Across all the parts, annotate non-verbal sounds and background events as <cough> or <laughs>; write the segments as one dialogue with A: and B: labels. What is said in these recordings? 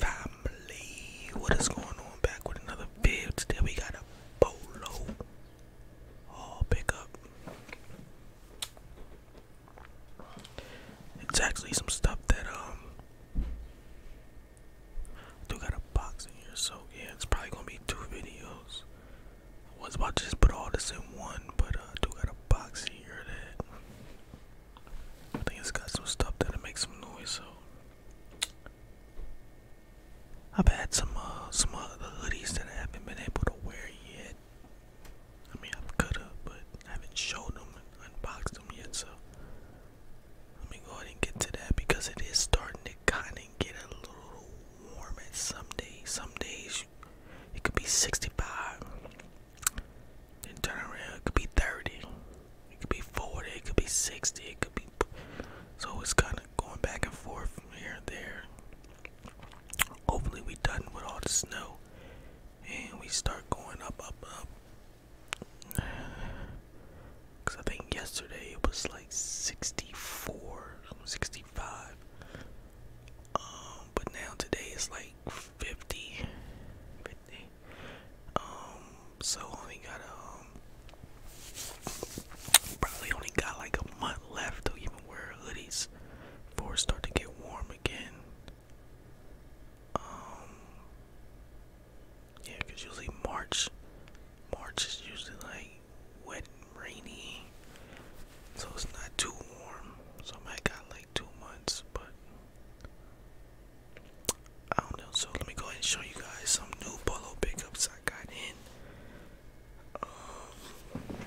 A: Family, what is going on? Back with another video. Today we got a bolo haul pickup. It's actually some stuff that um I do got a box in here, so yeah, it's probably gonna be two videos. was about just put all this in one, but I uh, do got a box in here that I think it's got some stuff that'll make some noise. So I've had some uh, some other hoodies that I haven't been able to wear yet. I mean, I could have, but haven't shown them unboxed them yet, so let me go ahead and get to that because it is starting to kind of get a little warm at some days. Some days it could be 65, then turn around, it could be 30, it could be 40, it could be 60, it could be. So it's kind of going back and forth from here and there. Hopefully, we're done with all the snow and we start going up, up, up. Because <sighs> I think yesterday it was like 64, 65. Um, but now today it's like 50, Um, so only got, um, probably only got like a month left to even wear hoodies before it start to get warm again. Um, yeah, because usually March, March is usually like wet and rainy, so it's not too warm. So I got like two months, but I don't know. So let me go ahead and show you guys some new polo pickups I got in. Um,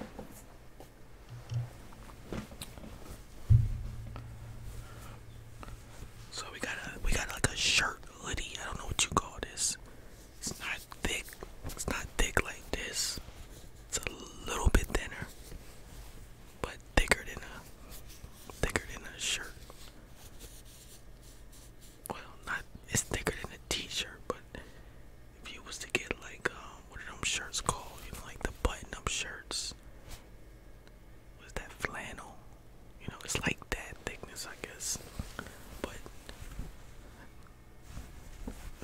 A: so we got a we got like a shirt hoodie. I don't know what you call this. It's not thick. It's not thick like this. It's a little bit thinner, but thicker than a thicker than a shirt. Well, not it's thicker than a t-shirt, but if you was to get like what um, are them shirts called? like the button-up shirts was that flannel? You know, it's like that thickness, I guess. But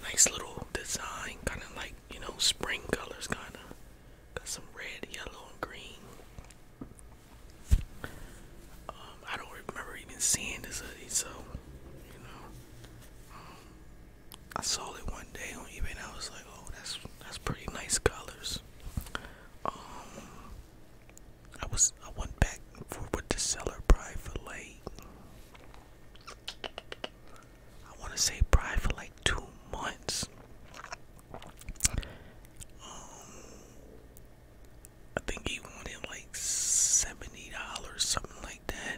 A: nice little design, kind of like you know spring colors, kind of got some red, yellow, and green. Um, I don't remember even seeing this hoodie, so you know, um, I saw it one day on eBay and I was like, oh, that's that's pretty nice colors. Um, I was I went back for with the seller pride fillet. I want to say pride for like two months. Um, I think he wanted like seventy dollars, something like that.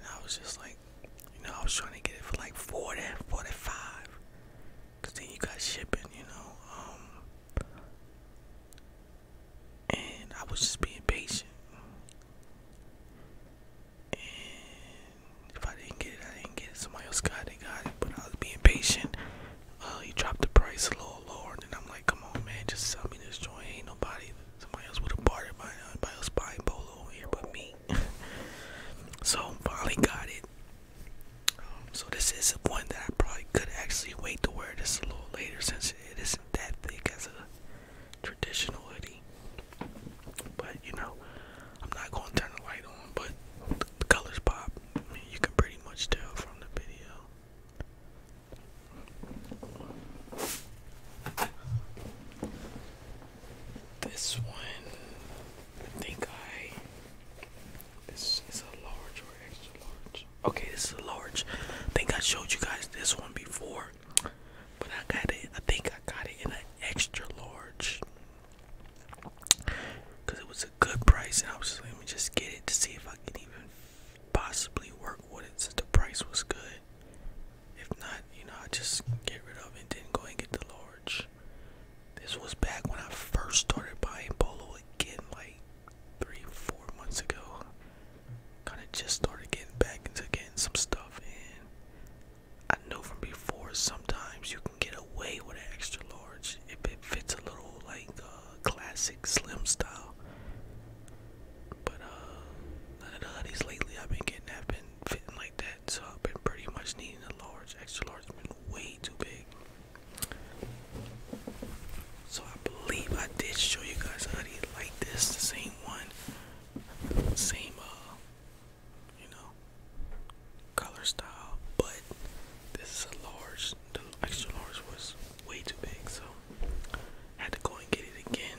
A: And I was just like, you know, I was trying to get it for like 40, 45. Cause then you got shipping, you know. Um, and I was just being patient. And if I didn't get it, I didn't get it. Somebody else got it, got it. But I was being patient. Uh, he dropped the price a little lower, and then I'm like, come on, man, just sell me this joint. Ain't nobody, somebody else would have bought it. Nobody else buying Polo here but me money. <laughs> so finally got it. Um, so this is one that I probably could actually wait to wear this a little later since it isn't that thick as a traditional hoodie. But you know, I'm not gonna turn the light on, but the, colors pop. I you can pretty much tell from the video. This one, I think I. This is a large or extra large. Okay, this is a large. I think I showed you guys this one before, but I got it. I think I got it in an extra large because it was a good price, and I was like, let me just get it to see if I can even possibly work with it since the price was good. If not, you know, I just get rid of it and then go and get the large. This was back when I first started buying polo again, like three, four months ago. Kind of just started getting back into getting some stuff, and I know from before sometimes you can get away with an extra large if it fits a little like uh, classic slim style. But uh, none of the hoodies lately I've been getting have been fitting like that, so I've been pretty much needing a large, extra large. I've been way too big. So I believe I did show you guys how to like this, the same one, same uh, you know, color style, but this is a large. The extra large was way too big, so I had to go and get it again.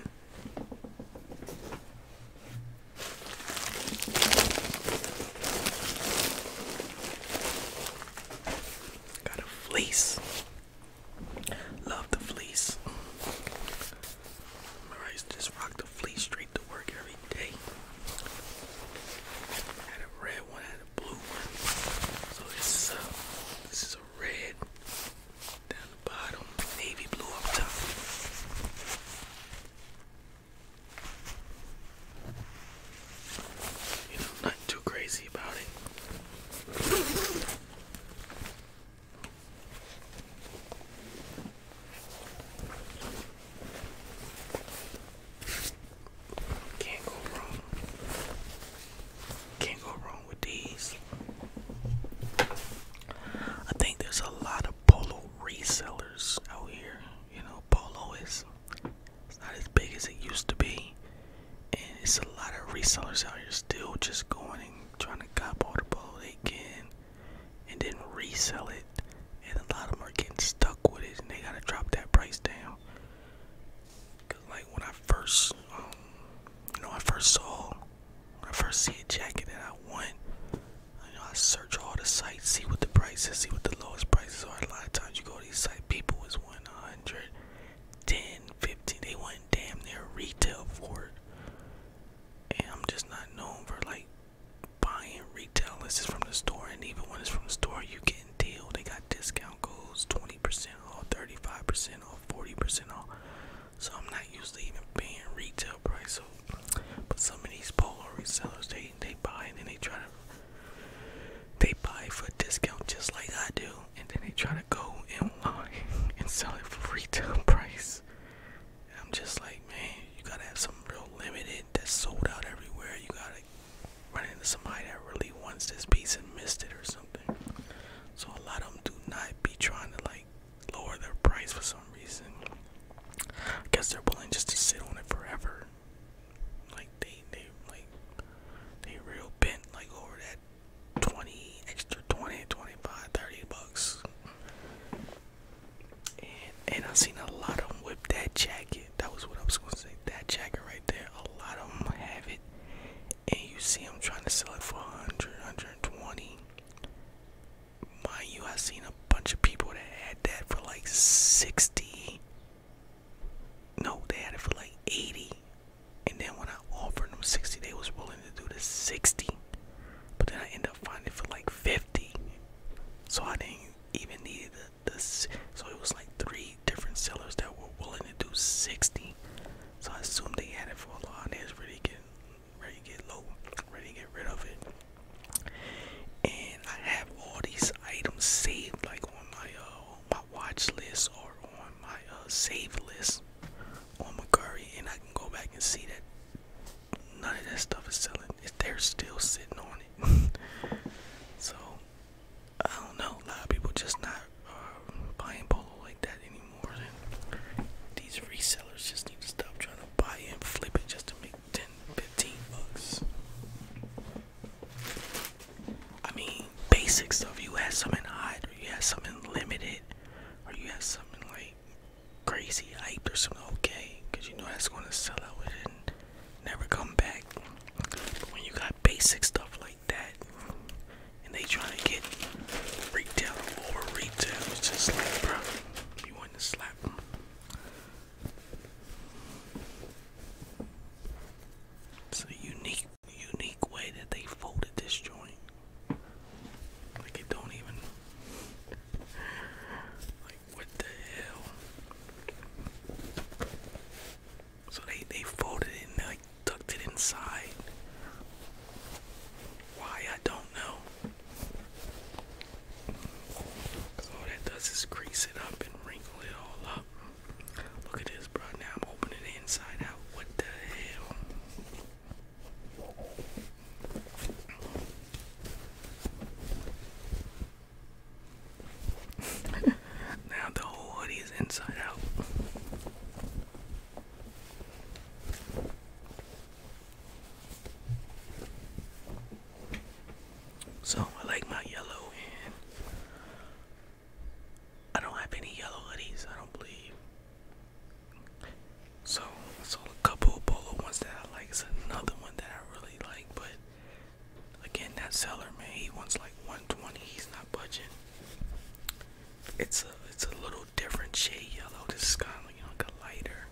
A: Got a fleece. Love the fleece. I just rock the fleece straight to work every day. had a red one, had a blue one. So this is a, this is a red bottom, navy blue up top. You know, not too crazy about it. Can't go wrong. Can't go wrong with these. I think there's a lot of polo resellers out here. You know, polo is it's not as big as it used to be, and it's a lot of resellers out here still just going and trying to cop all the polo they can, and then resell it. And a lot of them are getting stuck with it, and they gotta drop that price down. Cause like when I first, um, you know, I first saw when I first see a jacket that I want, you know, I search all the sites, see what the prices, see what the lowest prices are. A lot of times you go to these sites, people is wanting 110, 15, they want damn near retail for it. And I'm just not known for like buying retail unless it's from the store. And even when it's from the store, you get a deal. They got discount codes, 20% off, 35% off, 40% off. So I'm not used to even paying retail price. So, but some of these polo resellers, they they buy and then they try to they buy for a discount just like I do, and then they try to go online <laughs> and sell it for retail <laughs> price. And I'm just like, man, you gotta have something real limited that's sold out everywhere. You gotta run into somebody that really wants this piece and missed it or something. So a lot of them do not be trying to like lower their price for some reason. I guess they're willing just to sit on it forever. Like they they like they real bent like over that 20 extra 20 bucks. and I seen a lot of them whip that jacket. That was what I was gonna say. That jacket right there. A lot of them have it and you see I'm trying to sell it for 100, 120. Mind you, i seen a bunch of people that had that for like 60. No, they had it for like 80. And then when I offered them 60, they was willing to do the 60. But then I end up finding for like 50. So I didn't even need the, the so it was like three different sellers that were willing to do 60. So I assume they had it for a long. and they was really getting ready to get low, ready to get rid of it. And I have all these items saved like on my uh my watch list or on my uh save list on McCurry and I can go back and see that none of that stuff is selling. they're still sitting on it. <laughs> so I don't know, a lot of people just not buying polo like that anymore. these resellers just need to stop trying to buy and flip it just to make 10, 15 bucks. I mean, basic stuff. You had something hot, or you had something limited, or you had something like crazy hyped or something okay, because you know that's going to sell out and never come back. when you got basic stuff like that, and they trying to get retail over retail. It's just like, bro, you want to slap It's a unique, unique way that they folded this joint. Like it don't even. Like what the hell? So they they folded it like tucked it inside. Why I don't know. Cause all that does is grease it up and wrinkle it all up. Look at this, bro. Now I'm opening inside out. What the hell? <laughs> now the whole hoodie is inside out. So I like my yellow and I don't have any yellow hoodies, I don't believe. So I sold a couple of polo ones that I like. It's another one that I really like, but again that seller man he wants like 120, he's not budging. It's a it's a little different shade yellow. This is kind of like, a lighter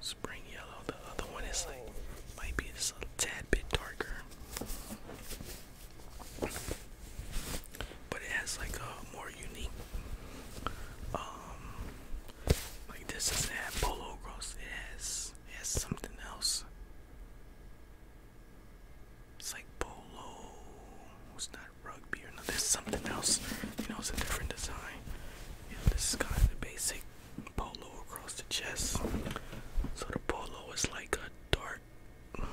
A: spring yellow. The other one is like might be just a tad bit darker, but it has like a more unique. Um, like this doesn't have Polo Gross. It has has something else. It's like polo. It's not rugby or nothing. There's something else. You know, it's a different design. this is kind of the basic polo across the chest. So the polo is like a dark. I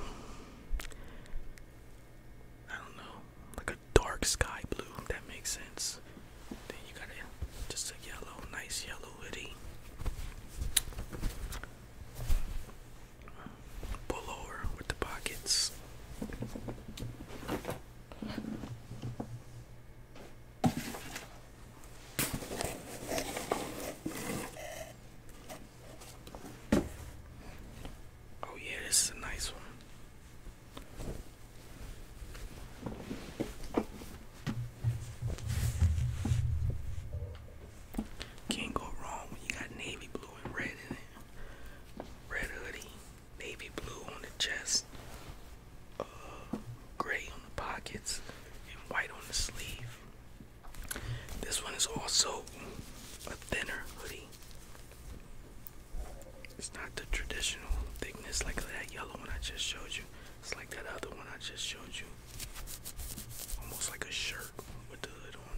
A: don't know, like a dark sky blue. If that makes sense. Then you got a, just a yellow, nice yellow hoodie pullover with the pockets. Oh, yeah, this is a nice one. Can't go wrong when you got navy blue and red in it. Red hoodie, navy blue on the chest, uh, gray on the pockets, and white on the sleeve. This one is also a thinner hoodie. It's not the traditional thickness like that yellow one I just showed you. It's like that other one I just showed you almost like a shirt with the hood on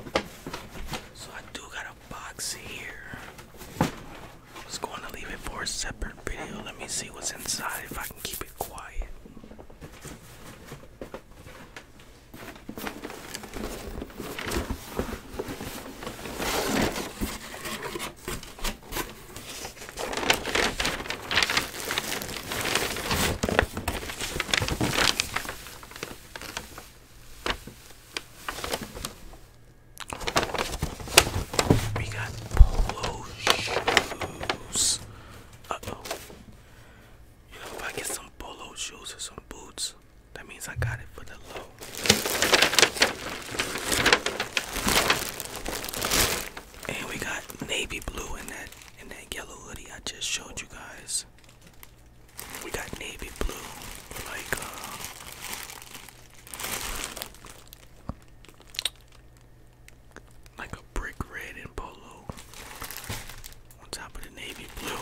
A: it. So I do got a box here. I was going to leave it for a separate video. Let me see what's inside if I can keep it quiet. We got polo shoes. Uh oh. You know, if I get some polo shoes or some boots, that means I got it for the low. And we got navy blue in that in that yellow hoodie I just showed you guys. We got navy blue like uh, like a brick red and polo on top of the navy blue.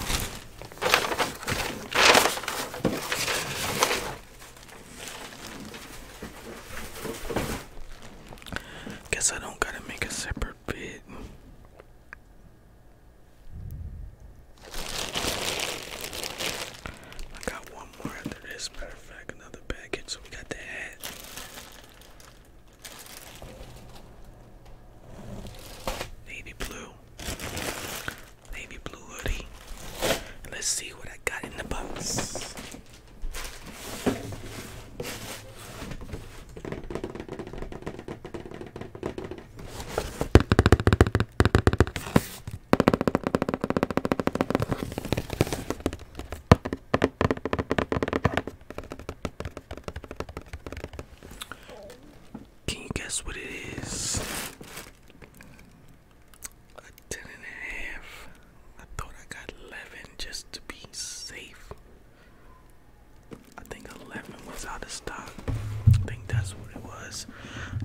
A: Guess I don't gotta make a separate bid. I got one more after this, matter of fact, another package, so we got the Navy blue navy blue hoodie. let's see what I got in the box. Can you guess what it is? A ten and a half. I thought I got eleven just to be safe. I think eleven was out of stock. I think that's what it was.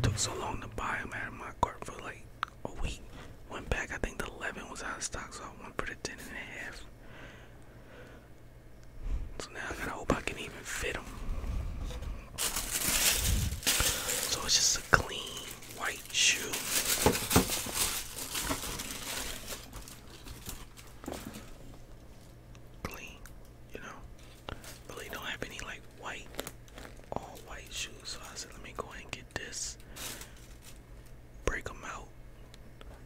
A: Took so long to buy them out of my cart for like a week. Went back, I think the eleven was out of stock, so I went for the ten and a half. So now I gotta hope I can even fit them. So it's just a clean white shoe. Clean, you know. Really don't have any like white, all white shoes. So I said, let me go and get this. Break them out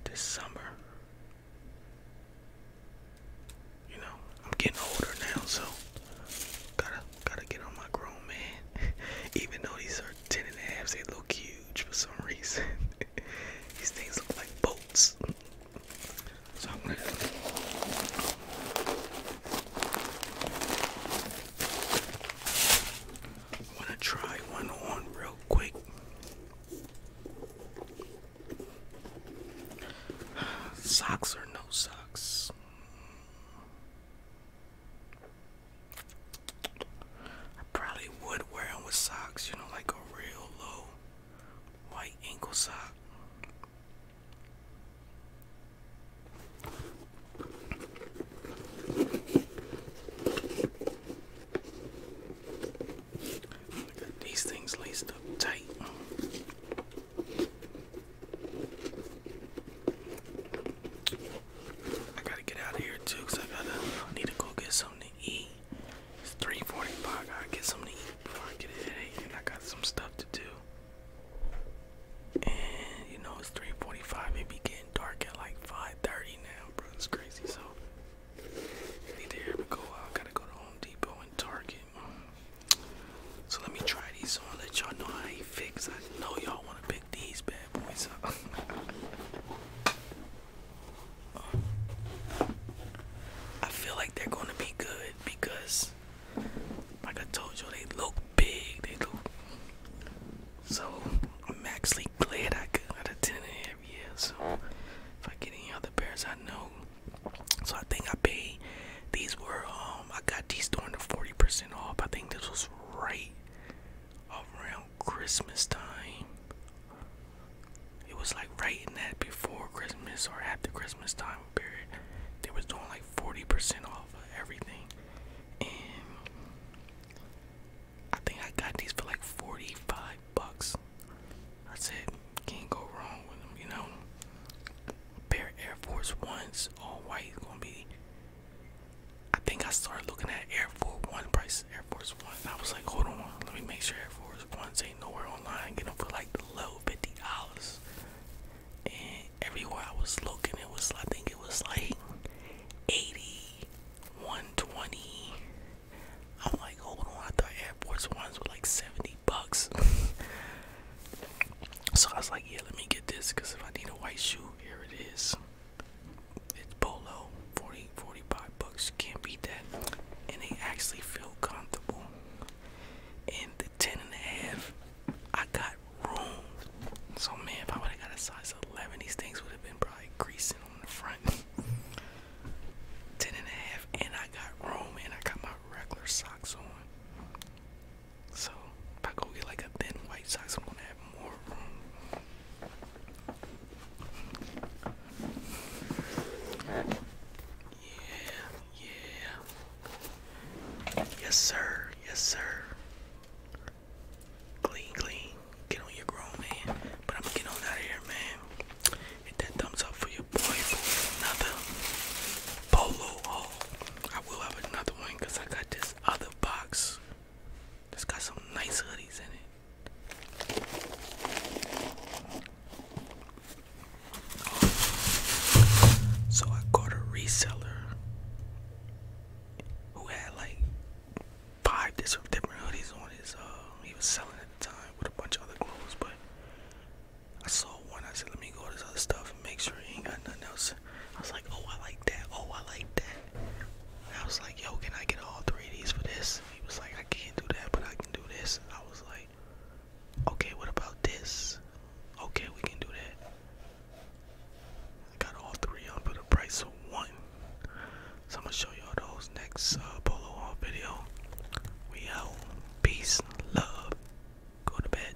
A: this summer. You know, I'm getting older now, so gotta gotta get on my grown man. <laughs> Even though these are ten and a half, they look huge for some reason. <laughs> these things look like boats. So I'm gonna I am going to want to try one on real quick. Socks or no socks? I probably would wear them with socks, you know, like a real low white ankle sock these things laced up tight. I gotta get out of here too, cause I gotta I need to go get something to eat. It's 3:45. I gotta get something to eat before I get a headache, and I got some stuff to do. And you know it's 3:45. It be getting dark at like 5:30 now, bro. It's crazy. So Need to go out. Gotta go to Home Depot and Target. So let me try these on. Let y'all know how they fix. I know y'all wanna pick these bad boys up. <laughs> I feel like they're gonna be good because, like I told you, they look big. They look. So I'm actually glad I got a ten every year. So if I get any other pairs, I know so I think I paid. These were um I got these during the 40% off. I think this was right around Christmas time. It was like right in that before Christmas or after Christmas time period. They was doing like 40% off everything. And I think I got these for like 45 bucks. I said, can't go wrong with them, you know. Pair Air Force Ones, all white, gonna be. I think I started looking at Air Force One prices, Air Force One. I was like, hold on, let me make sure Air Force Ones ain't nowhere online. Get them for like low fifty dollars. And everywhere I was looking, it was I think it was like eighty, one twenty, I'm like, hold on, I thought Air Force Ones were like 70 bucks. <laughs> so I was like, yeah, let me get this because if I need a white shoe, here it is. It's Polo, 40, 45 bucks. can't beat that. And they actually feel comfortable. And the 10 and a half, I got room. So man, if I would have got a size 11, these things would have been probably greasing on the front. <laughs> ten and a half, and I got Rome, and I got my regular socks on. So if I go get like a thin white socks, I'm gonna have more room. Yeah, yeah. Yes, sir. Yes, sir. Clean, clean. Get on your grown man. But I'm going out of here, man. Hit that thumbs up for your boy another polo I will have another one I got this other box it has got some nice hoodies in it. So I got a reseller who had like five different hoodies on his uh he was selling at the time with a bunch of other clothes, but I saw one, I said let me go to this other stuff and make sure he ain't got nothing else. I was like, Oh I like that, oh I like that. I was like, yo, can I get all three of these for this? He was like, I can't do that, but I can do this. I was like, Okay, what about this? Okay, we can do that. I got all three on for the price one. So I'm gonna show y'all those next uh, polo on video. We out. Peace, love. Go to bed.